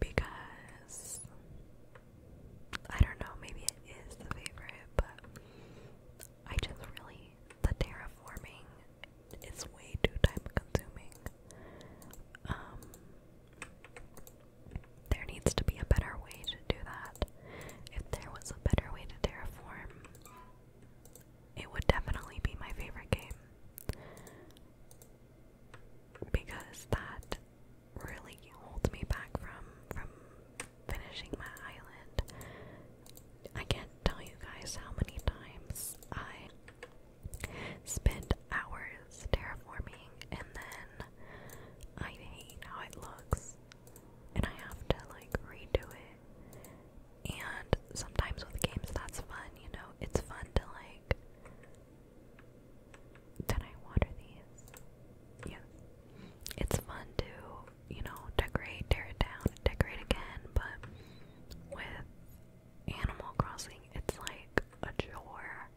Because I don't know, maybe it is the favorite, but I just really the terraforming it's way too time consuming. Um, there needs to be a better way to do that. If there was a better way to terraform, it would definitely be my favorite game. Because that really holds me back from from finishing my island I can't tell you guys how many times I spend hours terraforming and then I hate how it looks and I have to like redo it. And sometimes with games that's fun, you know, it's fun to like then I water these. Yeah. It's fun to you know, decorate, tear it down, decorate again, but with Animal Crossing, it's like a chore.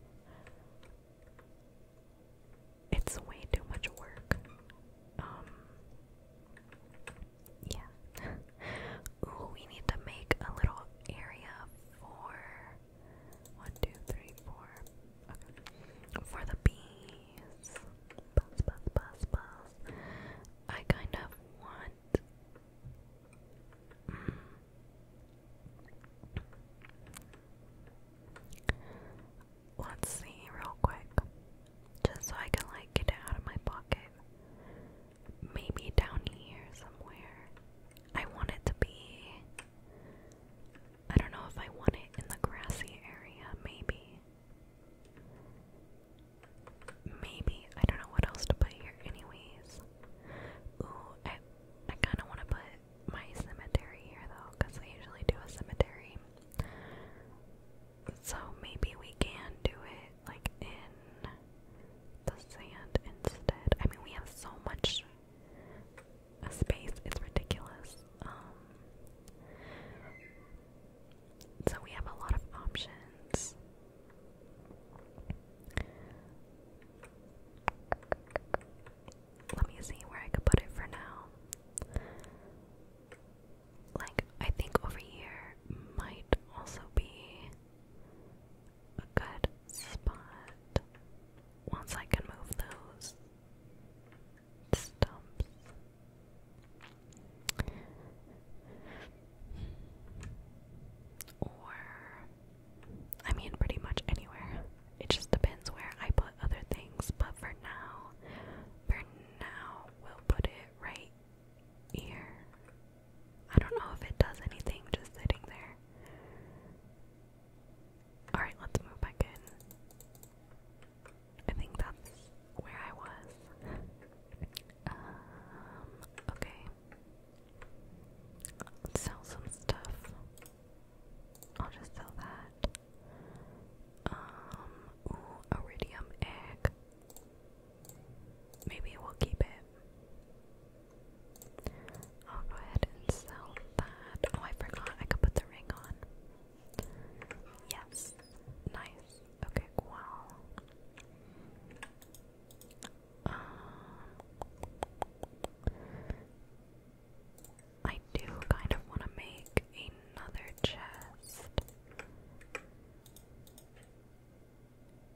It's way too much work. Um, yeah. (laughs) Ooh, we need to make a little area for one, two, three, four. For the bees. Buzz, buzz, buzz, buzz. I kind of want. Mm, let's see, real quick, just so I can like get it out of my pocket. Maybe down here somewhere. I want it to be. I don't know if I want it in the grassy area, maybe. Maybe I don't know what else to put here, anyways. Ooh, I kind of want to put my cemetery here though, because I usually do a cemetery. So maybe we can do it like in the sand instead. I mean, we have so much uh, space; it's ridiculous. Um, so we have a lot of options. Let me see where I could put it for now. Like, I think over here might also be a good spot once I can move those stumps. Or, I mean, pretty much anywhere. It just depends where I put other things, but for now, for now, we'll put it right here. I don't know if it does anything just sitting there. Alright, let's move back in. I think that's where I was. Um, okay. sell some stuff. I'll just sell that. Um, iridium egg. Maybe we'll keep it. I'll go ahead and sell that. Oh, I forgot I could put the ring on. Yes. Nice. Okay, well. Um, I do kind of want to make another chest.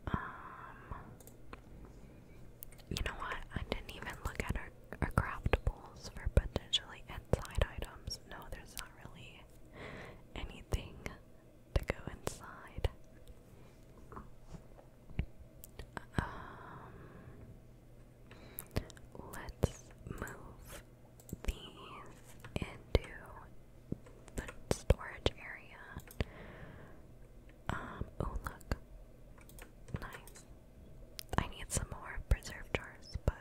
Um, you know what? I didn't even look at our, our craftables for potentially inside items. No, there's not really anything to go inside. Um, let's move these into the storage area. Um, oh look. Nice. I need some more preserved jars, but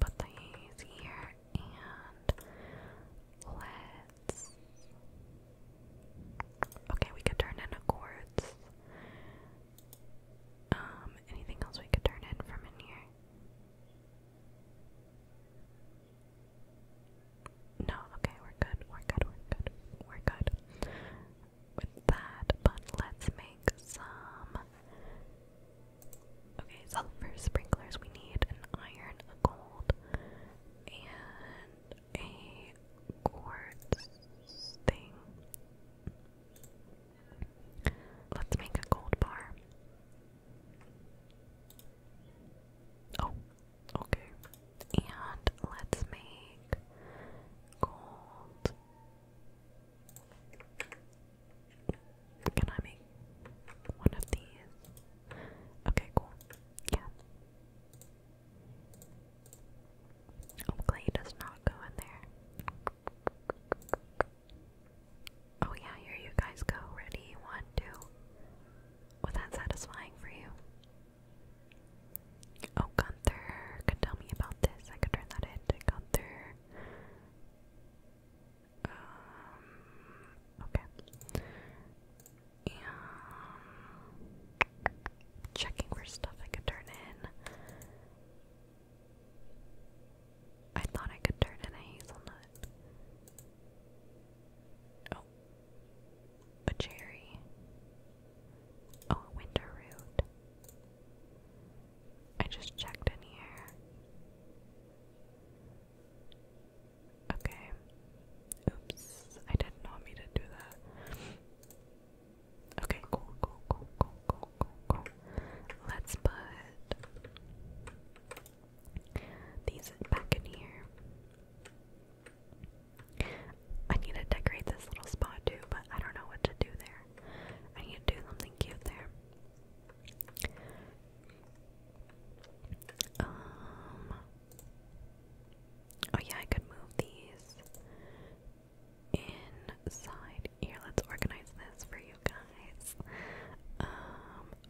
put these here and let's. Okay, we could turn in accords. Um, anything else we could turn in from in here? No, okay, we're good, we're good, we're good, we're good with that, but let's make some Okay, so for sprinklers we need an iron, a gold, and a quartz thing. Let's make a gold bar. Oh, okay. And let's make gold. Can I make one of these? Okay, cool. Yeah. Oh, clay does not go in there. Oh yeah, here you guys go. Ready? One, two. Was that satisfying for you? Oh, Gunther could tell me about this. I could turn that into Gunther. Um, okay. Um, checking for stuff I could turn in. I thought I could turn in a hazelnut. Oh, a cherry. Oh, a winter root. I just checked in here. Okay. Oops. I did not mean to do that. Okay, cool, cool, cool, cool, cool, cool, cool. Let's put these back in here. I need to decorate this little spot too, but I don't know what to do there. I need to do something cute there. Um, oh yeah, I could move these inside here. Let's organize this for you guys. Um,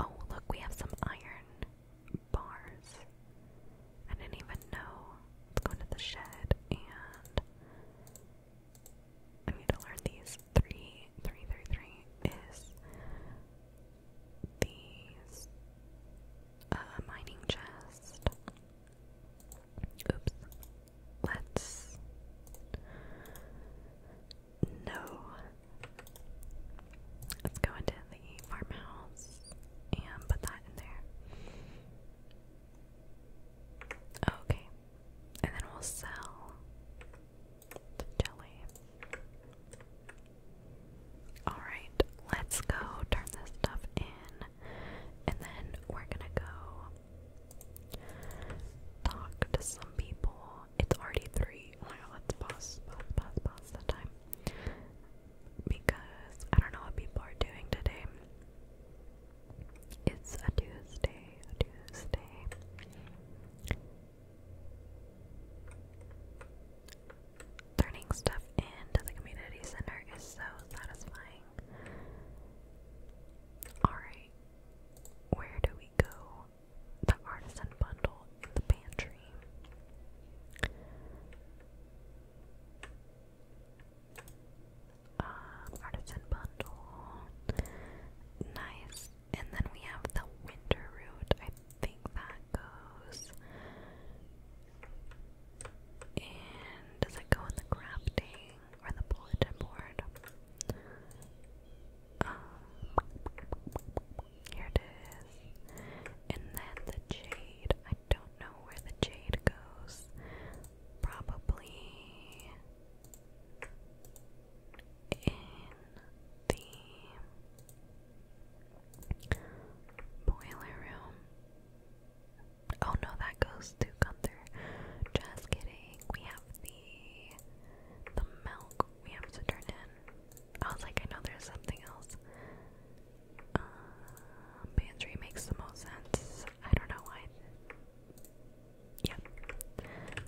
oh look, we have some iron bars. I didn't even know. Let's go into the shed and I need to learn these. Three, three, three, three is these uh, mining chest. Oops. Let's no. Let's go into the farmhouse and put that in there. Okay, and then we'll sell the jelly. Alright, let's go turn this stuff in, and then we're gonna go talk to some people. It's already three. Oh my god, let's pause, pause, pause, pause the time. Because I don't know what people are doing today. It's a Tuesday, a Tuesday. Turning stuff into the community center is so satisfying. Alright, where do we go? The artisan bundle in the pantry. Uh, artisan bundle. Nice. And then we have the winter route. I think that goes. And does it go in the crafting or the bulletin board? Um, here it is. And then the jade. I don't know where the jade goes. Probably in the boiler room. Oh no, that goes to Gunther. Just kidding. We have the the milk we have to turn in. I like, I know there's something else. Uh, makes the most sense. I don't know why. Yeah.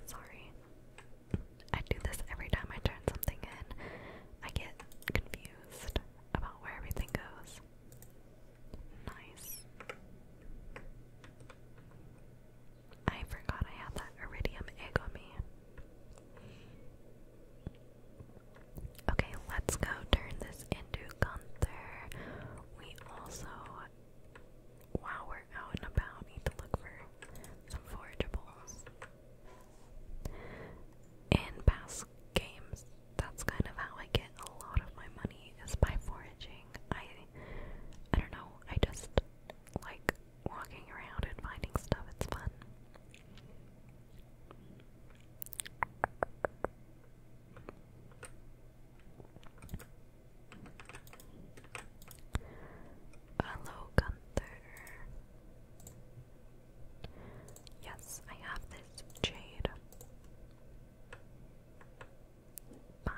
Sorry. I do this every time I turn something in. I get confused about where everything goes. Nice. I forgot I had that iridium egg on me. Okay, let's go turn this into Gunther. We also while we're out and about, need to look for some forageables. In past games, that's kind of how I get a lot of my money is by foraging. I I don't know, I just like walking around and finding stuff, it's fun. Hello, Gunther. Yes, I have this jade. Bye.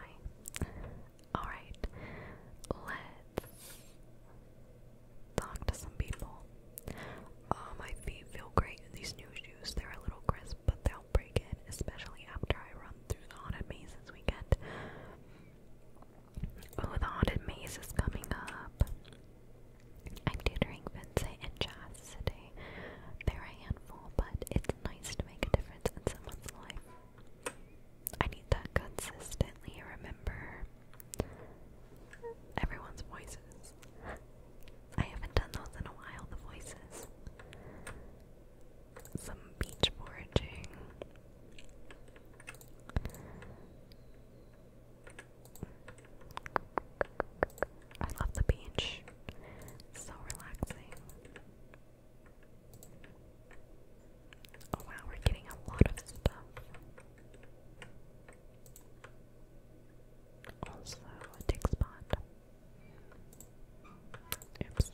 Alright, let's talk to some people. Oh, um, my feet feel great in these new shoes. They're a little crisp, but they'll break in, especially after I run through the haunted maze this weekend. Oh, the haunted maze is coming up. I'm tutoring Vincent and Jazz today. They're a handful, but it's nice to make a difference in someone's life. I need that consistently, remember? Everyone's voices. I haven't done those in a while, the voices some beach foraging. I love the beach. so relaxing. Oh, wow, we're getting a lot of stuff. Also, a tick spot. Oops.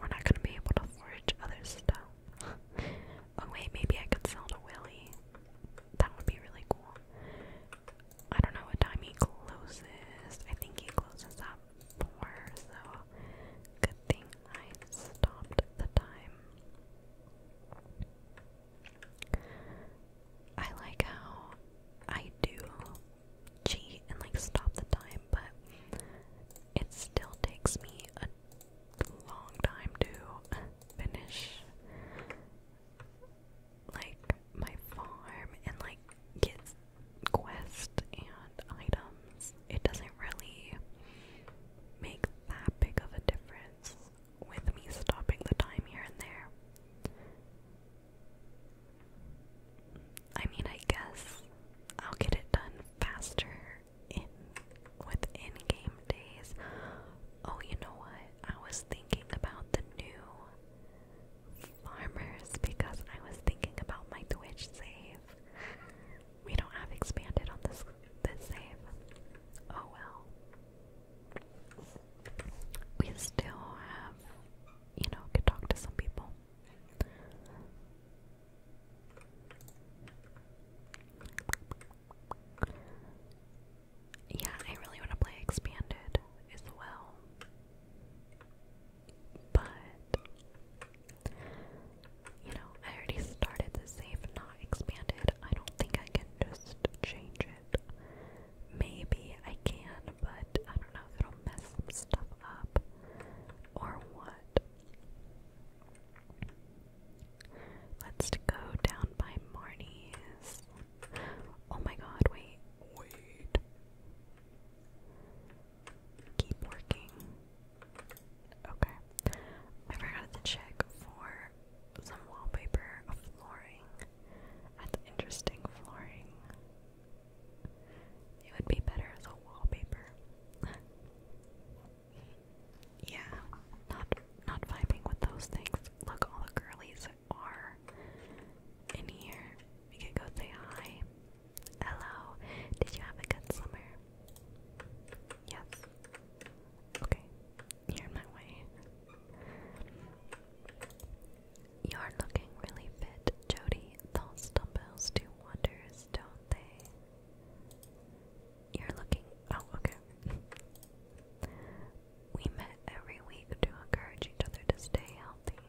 We're not gonna be able to forge other stuff. (laughs) oh wait, maybe I could sell to Willy. That would be really cool. I don't know what time he closes. I think he closes up four, so good thing I stopped the time. I like how I do cheat and like stop the time, but it still takes me a long time to finish like my farm and like get quests and items. It doesn't really make that big of a difference with me stopping the time here and there. I mean, I guess I'll get it done faster in with in-game days. Oh, you know what? I was thinking about the new farmers because I was thinking about my Twitch save. We don't have expanded on this this save. Oh well. We still have, you know, could talk to some people. Yeah, I really want to play Expanded as well. But, you know, I already started the save not expanded. I don't think I can just change it. Maybe I can, but I don't know if it'll mess stuff up or what. Let's go down by Marnie's. Oh my god, wait. Wait. Keep working. Okay. I forgot to check for some wallpaper of flooring. That's interesting flooring. It would be better as a wallpaper. (laughs) yeah, not not vibing with those things. Look, all the girlies are in here. We could go say hi. Hello. Did you have a good summer? Yes. Okay. you my way. You're looking really fit, Jody. Those dumbbells do wonders, don't they? You're looking. Oh, okay. we met every week to encourage each other to stay healthy.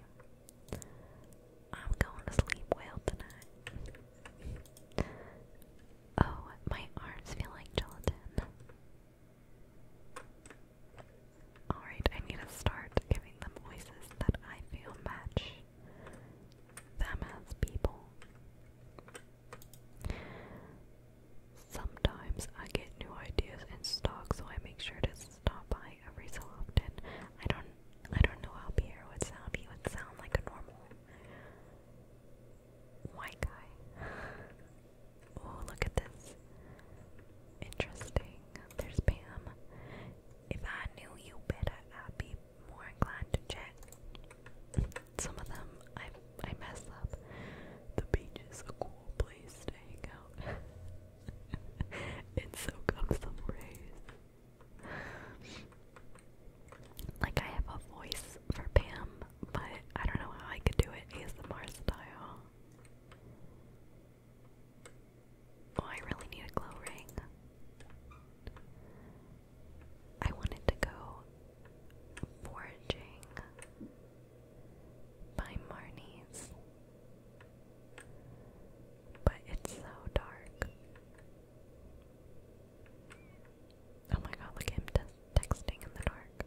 I'm going to sleep well tonight. Oh, my arms feel like gelatin. Alright, I need to start giving them voices that I feel match them as people. Sometimes I get new ideas in stock, so I make sure to stop by every so often. I don't I don't know how Pierre would sound. He would sound like a normal white guy. Oh, look at this. Interesting. There's Pam. If I knew you better, I'd be more inclined to check. Some of them I I mess up. The beach is a cool place to hang out. and (laughs) so comes some rays. Like I have a voice for Pam, but I don't know how I could do it ASMR style. Oh, I really need a glow ring. I wanted to go foraging by Marnie's, but it's so dark. Oh my god, look at him texting in the dark.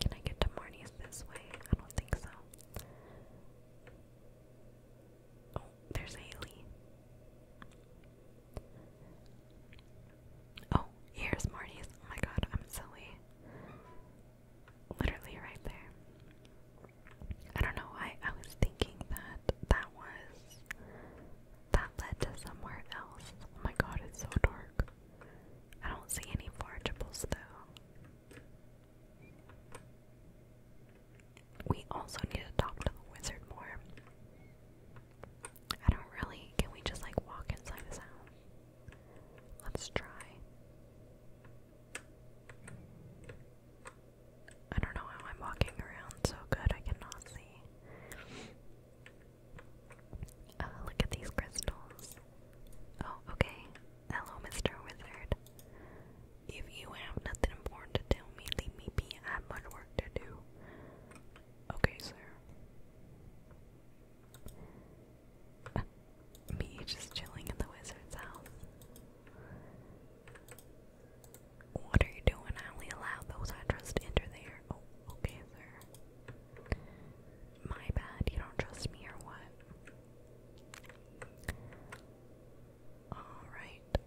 Can I get to Marnie's this way? I don't think so. Oh, there's Haley. Oh, here's Marty's. Oh my god, I'm silly. Literally right there. I don't know why I was thinking that that was. That led to somewhere else. Oh my god, it's so dark. I don't see any forageables though. We also need to talk to the wizard more. I don't really. Can we just like walk inside this house? Let's try. I don't know how I'm walking around so good, I cannot see. Oh, look at these crystals. Oh, okay. Hello, Mr. Wizard. If you have nothing important to tell me, leave me be. I'm much to do. Okay, sir. (laughs) Me just chilling in the wizard's house. What are you doing? I only allow those I trust enter there. Oh, okay, sir. My bad, you don't trust me or what? Alright.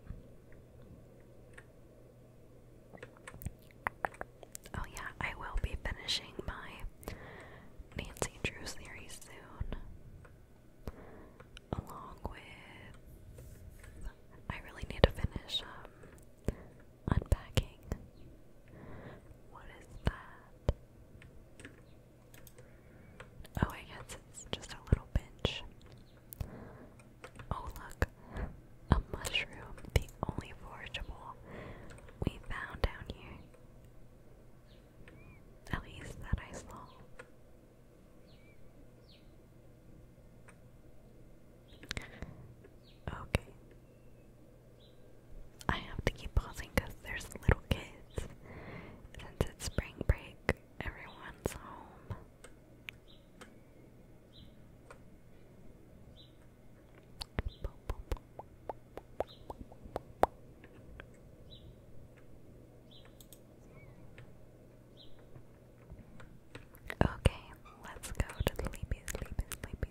Oh, yeah, I will be finishing my Nancy Drew series soon. Along with. I really need to finish um, unpacking. What is that? Oh, I guess it's just a little pinch. Oh look, a mushroom, the only forageable we found down here. At least that I saw. Okay. I have to keep pausing there's little kids. Since it's spring break, everyone's home. Okay, let's go to sleepy, sleepy, sleepy, sleepy.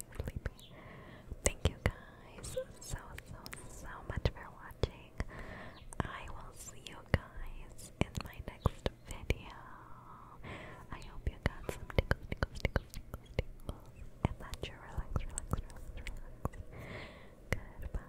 Thank you guys so, so, so much for watching. I will see you guys guys in my next video. I hope you got some tickles, tickles, tickles, tickles, and that you relax, relax, relax, relax. Goodbye.